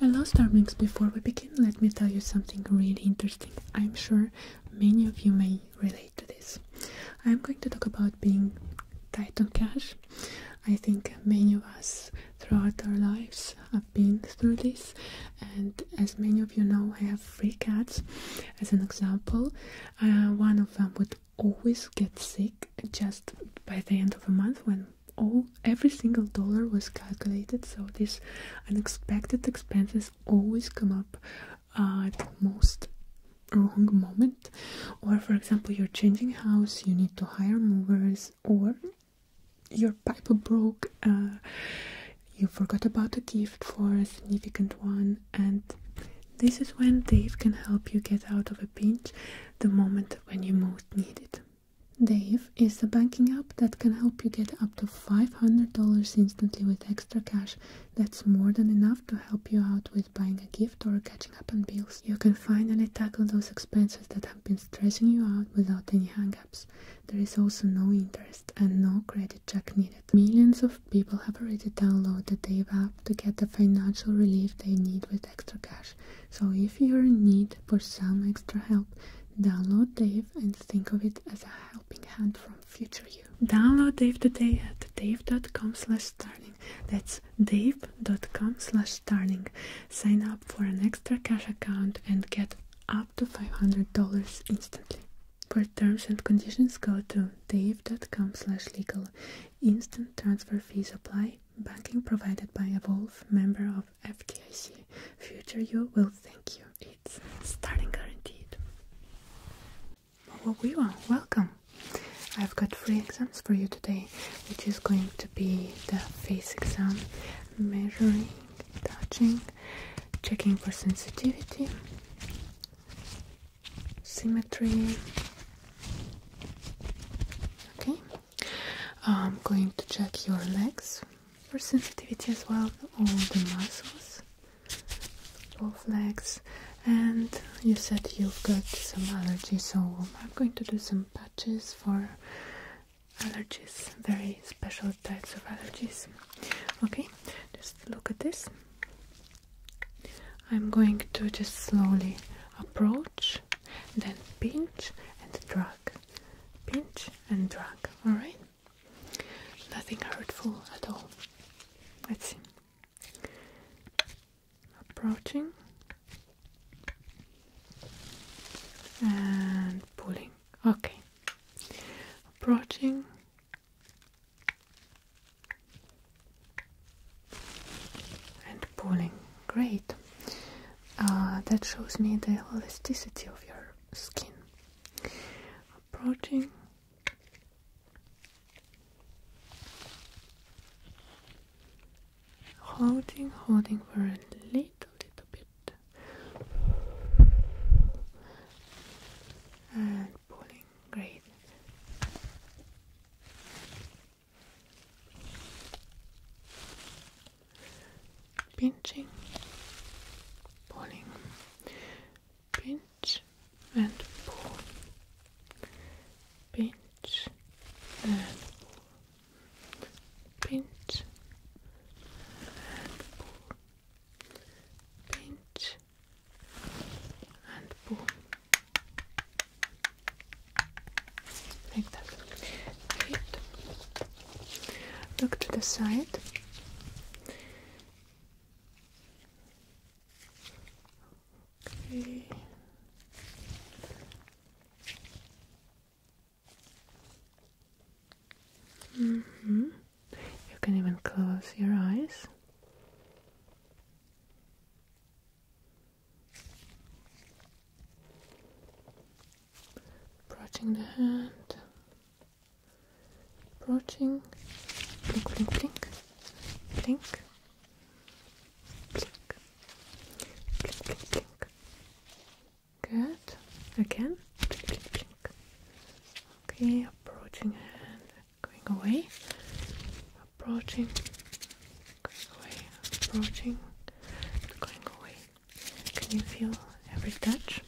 Hello Starmix, before we begin let me tell you something really interesting. I'm sure many of you may relate to this. I'm going to talk about being tight on cash. I think many of us throughout our lives have been through this and as many of you know I have three cats as an example. Uh, one of them would always get sick just by the end of a month when all every single dollar was calculated so these unexpected expenses always come up uh, at the most wrong moment or for example you're changing house you need to hire movers or your pipe broke uh, you forgot about a gift for a significant one and this is when Dave can help you get out of a pinch the moment when you most need it. Dave is a banking app that can help you get up to $500 instantly with extra cash. That's more than enough to help you out with buying a gift or catching up on bills. You can finally tackle those expenses that have been stressing you out without any hangups. There is also no interest and no credit check needed. Millions of people have already downloaded the Dave app to get the financial relief they need with extra cash. So if you're in need for some extra help, download Dave and think of it as a helping hand from future you. Download Dave today at dave.com slash starting. That's dave.com slash starting. Sign up for an extra cash account and get up to $500 instantly. For terms and conditions, go to dave.com slash legal. Instant transfer fees apply. Banking provided by Evolve, member of FDIC. Future you will thank you. It's starting guaranteed. Mowawiwa, welcome! I've got three exams for you today, which is going to be the face exam, measuring, touching, checking for sensitivity, symmetry. Okay, I'm going to check your legs for sensitivity as well, all the muscles, both legs. And you said you've got some allergies, so I'm going to do some patches for allergies, very special types of allergies. Okay, just look at this. I'm going to just slowly approach, then pinch and drag pinch and drag, alright? Nothing hurtful at all. Let's see. Approaching and pulling. Okay. Approaching. And pulling. Great. Uh, that shows me the elasticity of your skin. Approaching. Holding, holding for a little, little bit. And pulling, great pinching, pulling, pinch and pull, pinch and pull, pinch and pull, pinch and pull like that. Great. Look to the side. Okay. -hmm. You can even close your eyes. Approaching the hand, brushing, blink, blink, blink, blink, blink, blink, blink, blink. Good. Again, blink, blink, blink. Okay, approaching hand, going away, approaching, going away, approaching, going away. Can you feel every touch?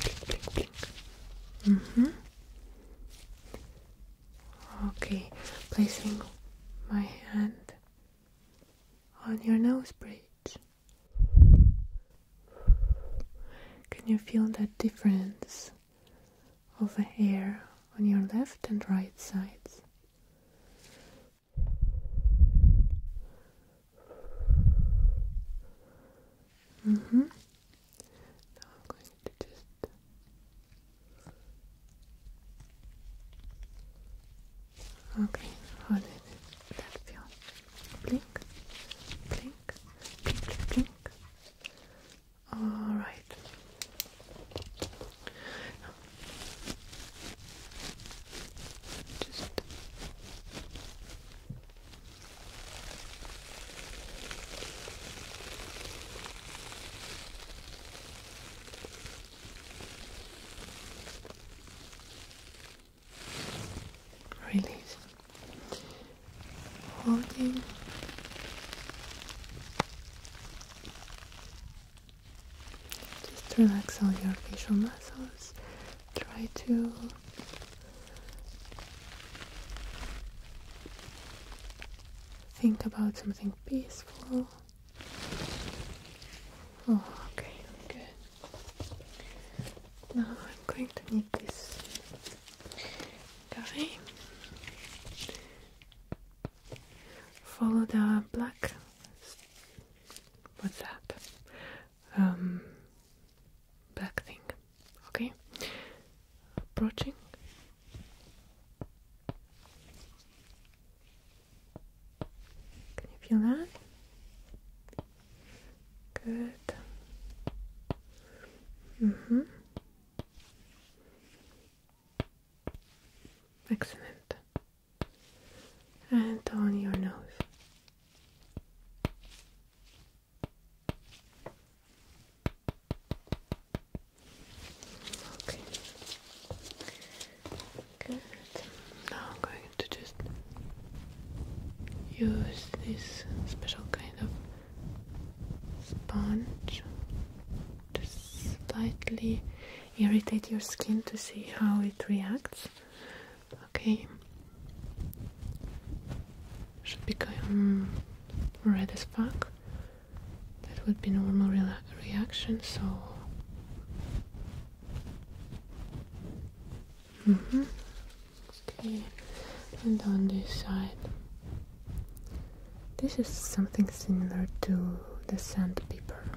Blink, blink, blink. Mm-hmm. Okay, placing my hand on your nose bridge. Can you feel that difference of the hair on your left and right sides. Mm-hmm. Now I'm going to just Okay, how it, that feel? Blink, blink, blink, blink. All right. release holding just relax all your facial muscles try to think about something peaceful oh okay good now I'm going to need this guy. Follow the black. What's that? Um, black thing. Okay. Approaching. Can you feel that? Good. Mm-hmm. Excellent. And on your nose. Okay. Good. Now I'm going to just use this special kind of sponge to slightly irritate your skin to see how it reacts. Okay, should become red as fuck. That would be normal reaction. So. Mm-hmm. Okay, and on this side. This is something similar to the sandpaper.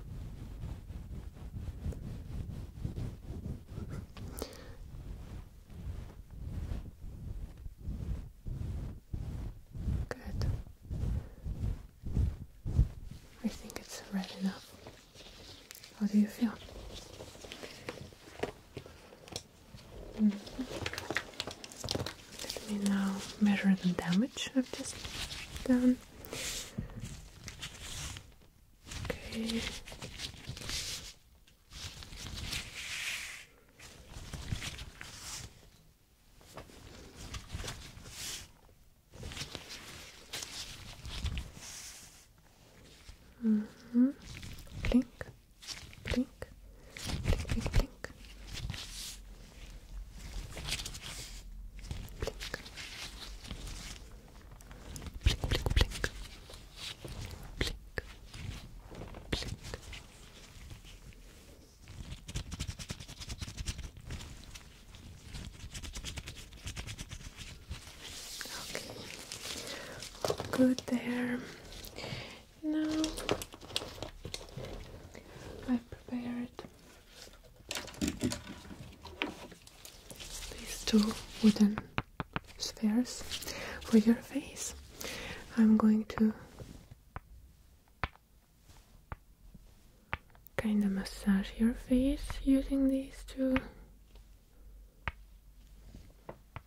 Good. I think it's red enough. How do you feel? Let me now measure the damage I've just done. Okay. -hmm. Clink blink, blink, blink, blink, blink, blink, blink, blink, blink, Okay, good there. Now I've prepared these two wooden spheres for your face. I'm going to kind of massage your face using these two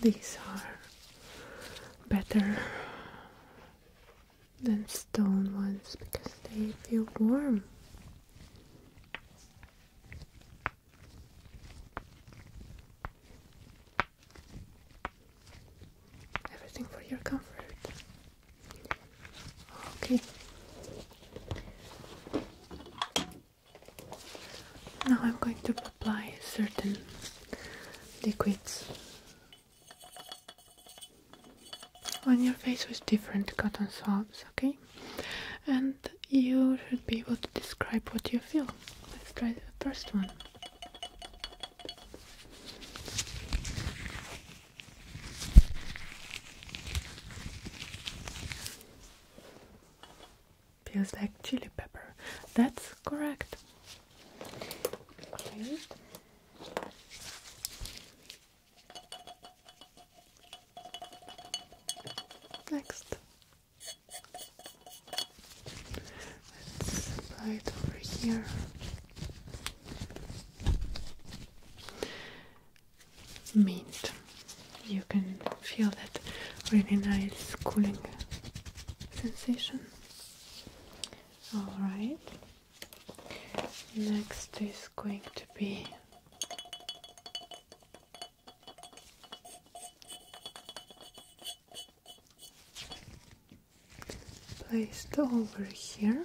These are better than stone ones because they feel warm. Everything for your comfort. Okay. Now I'm going to apply certain liquids on your face with different cotton swabs, okay? And you should be able to describe what you feel. Let's try the first one. Feels like chili pepper. That's correct. Next, let's apply it over here. Mint. You can feel that really nice cooling sensation. Alright, next is going to be placed over here.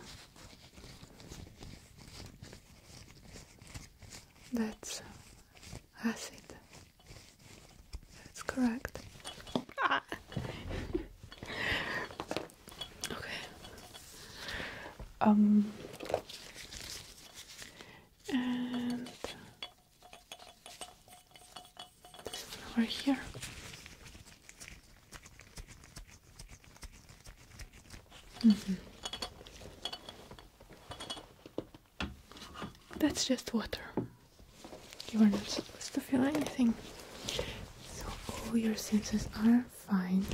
That's acid. That's correct. Ah. okay. Um. And over here. Mm -hmm. That's just water. You are not supposed to feel anything. So all your senses are fine.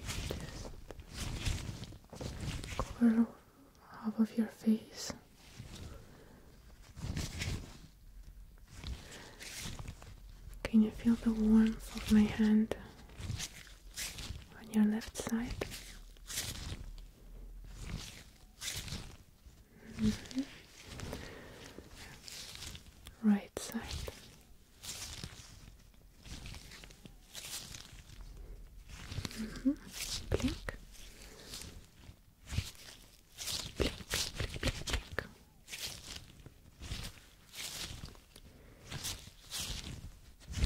Just cover half of your face. Can you feel the warmth of my hand on your left side? Mm-hmm. Right side. Mm-hmm. Blink. Blink, blink, blink,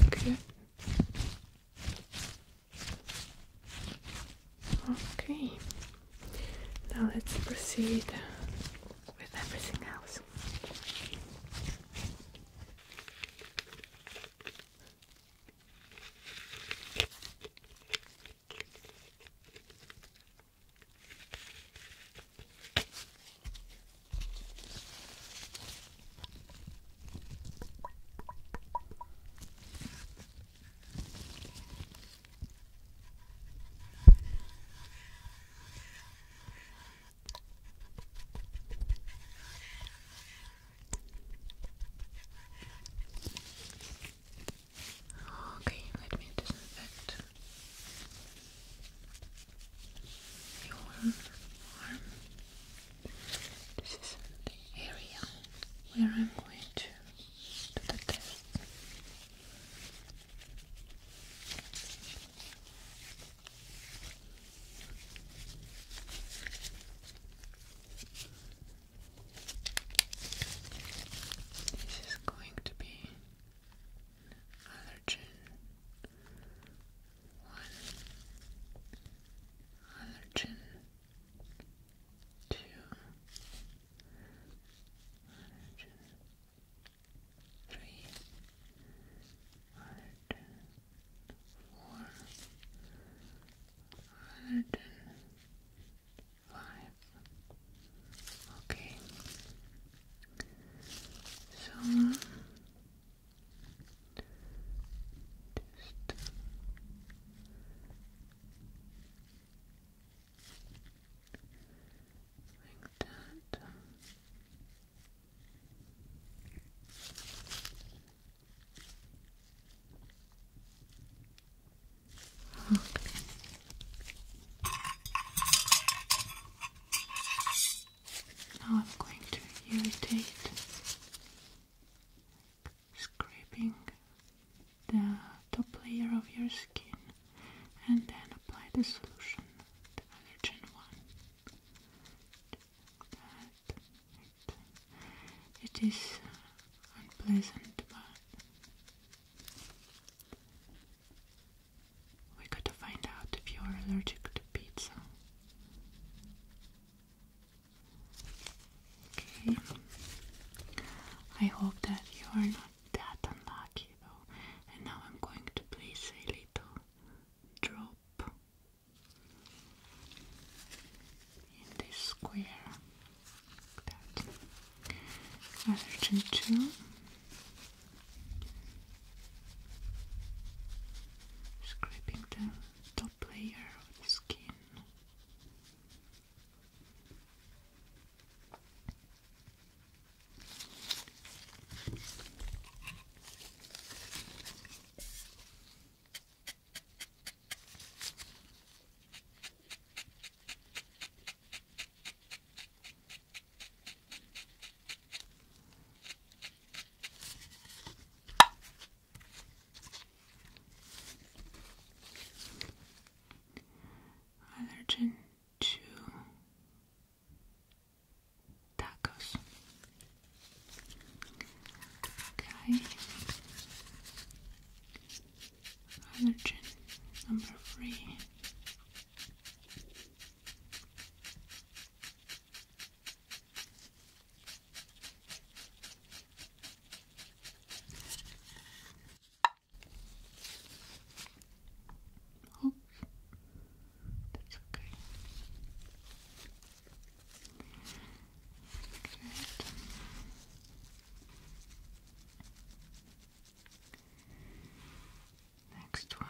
blink. Okay, now let's proceed with everything else. Okay, let me disinfect your arm. This is the area where I'm going to do the test. This is going to be allergen one, allergen two, one, two, three, one, two, four, one, two, five. Okay. So just like that. Okay. Now I'm going to irritate scraping the top layer of your skin and then apply the solution, the allergen one. it is unpleasant, but we got to find out if you are allergic to pizza. Okay. I hope that you are not that unlucky though. And now I'm going to place a little drop in this square. Like that. Other two. Scraping the Player of the skin allergen to tacos. Okay. Allergen number three. Oops. That's okay. Good. Next one.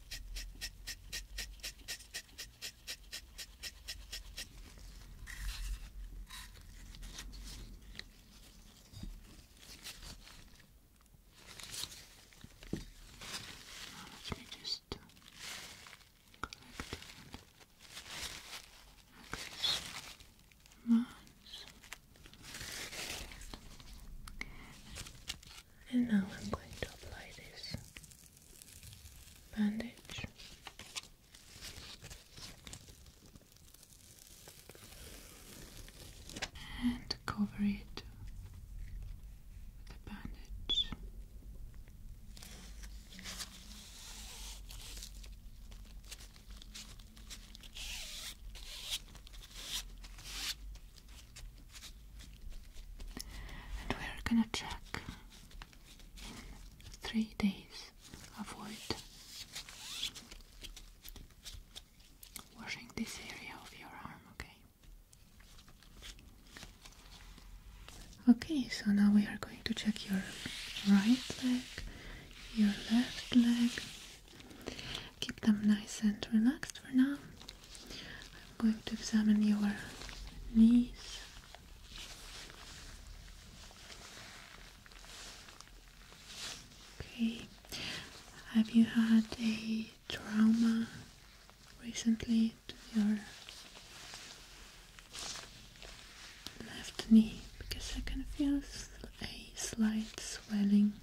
Now let me just collect this much. And now I'm going to apply this bandage. And cover it with a bandage and we're gonna check in three days. Avoid washing this area of your arm, okay? Okay, so now we are going to check your right leg, your left leg, keep them nice and relaxed for now. I'm going to examine your knees. Okay, have you had a trauma recently to your left knee? Because I can feel a slight swelling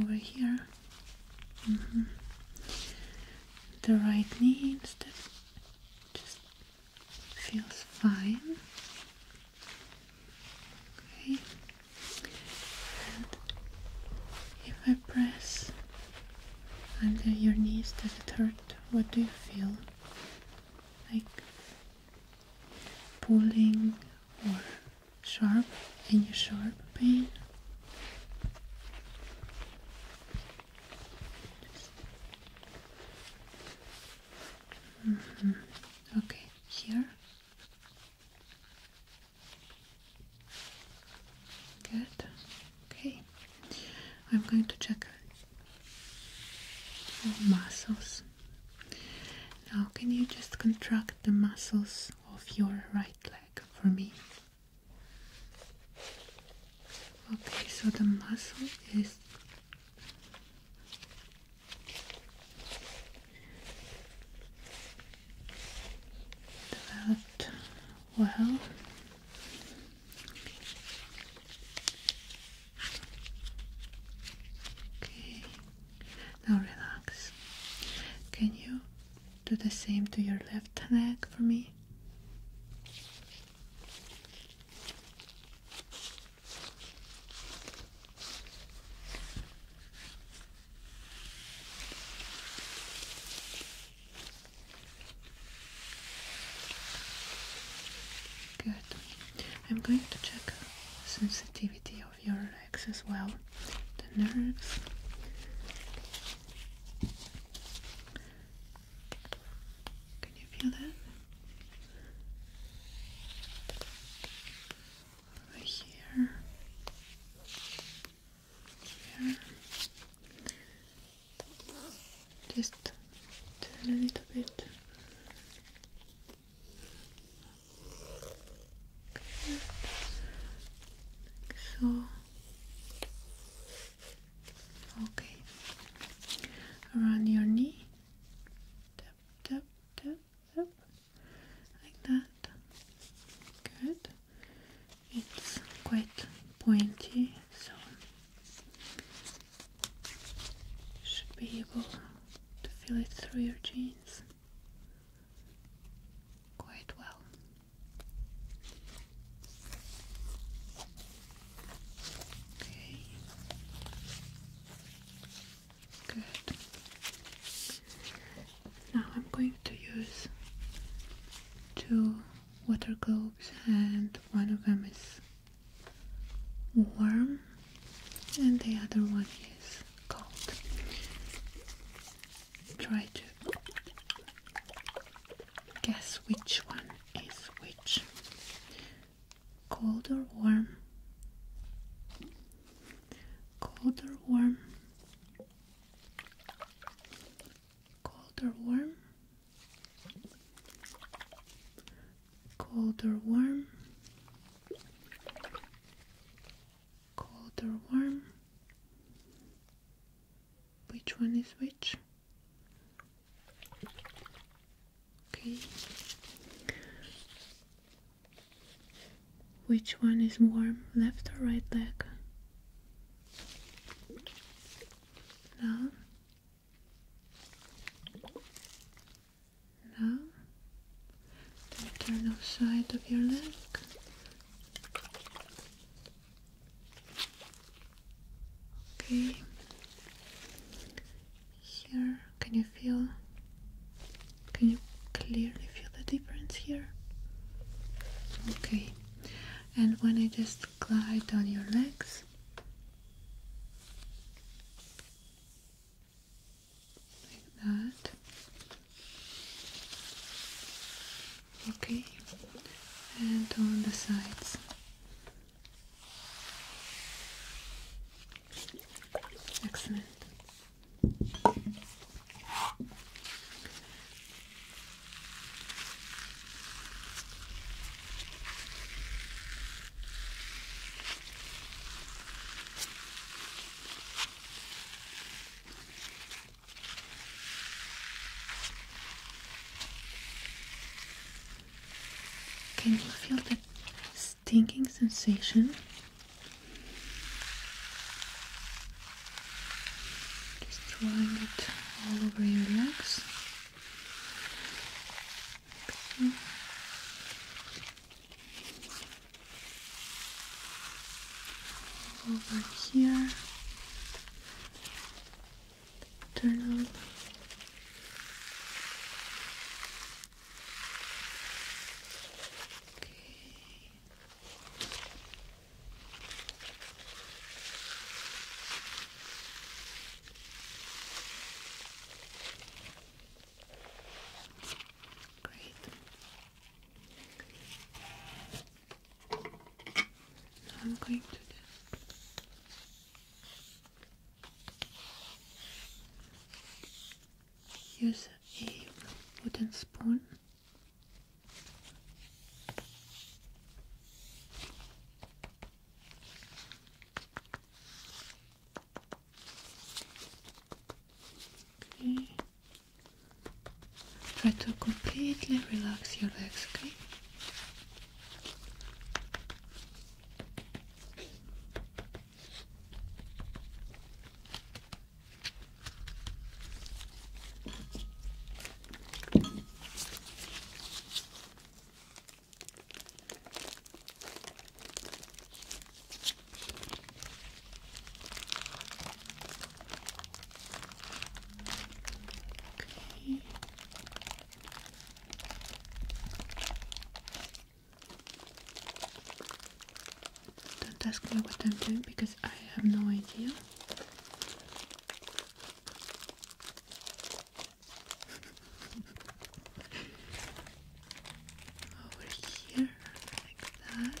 over here. Mm-hmm. The right knee instead just feels fine. Okay. if I press under your knees, does it hurt? What do you feel? Like pulling or sharp any sharp pain mm-hmm. okay here good okay I'm going to check all muscles now can you just contract the muscles of your right leg for me. Okay, so the muscle is developed well. Okay, now relax. Can you do the same to your left leg for me. Good. I'm going to check sensitivity of your legs as well, the nerves. Can you feel that? Over here, here. Just turn a little bit so. Okay. Around your knee. Tap, tap, tap, tap. Like that. Good. It's quite pointy, so you should be able to feel it through your jeans quite well. Okay. Good. Now I'm going to use two water globes, and one of them is warm, and the other one is Try to guess which one is which. Cold or warm? Cold or warm? Cold or warm? Cold or warm? cold or warm which one is which okay which one is warm left or right leg no no the internal side of your leg. Okay. Here, can you feel? Can you clearly feel the difference here? Okay. And when I just glide on your legs, like that. Okay, and on the sides. Excellent. Can you feel that stinking sensation? Just drawing it all over your legs over here, turn on. Okay. Great. I'm going to use a wooden spoon okay Try to completely relax your legs, don't ask me what I'm doing because I have no idea. Over here, like that.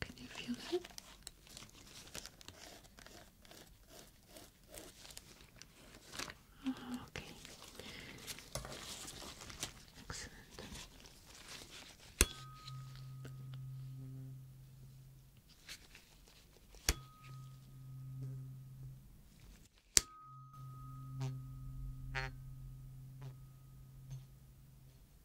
Can you feel that? Ah, okay. Excellent.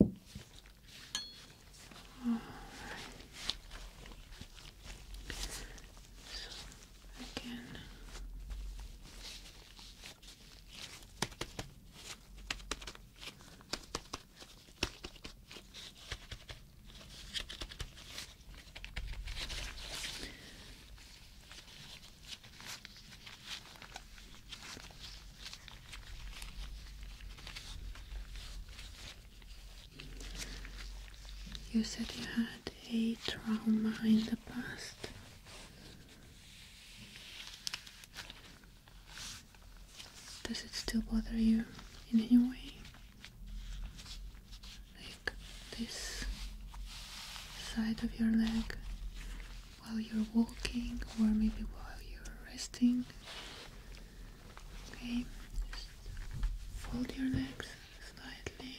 All right. So again. You said you had a trauma in the past. Does it still bother you in any way? Like this side of your leg while you're walking or maybe while you're resting. Okay, fold your legs slightly.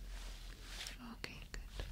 And relax. Okay, good.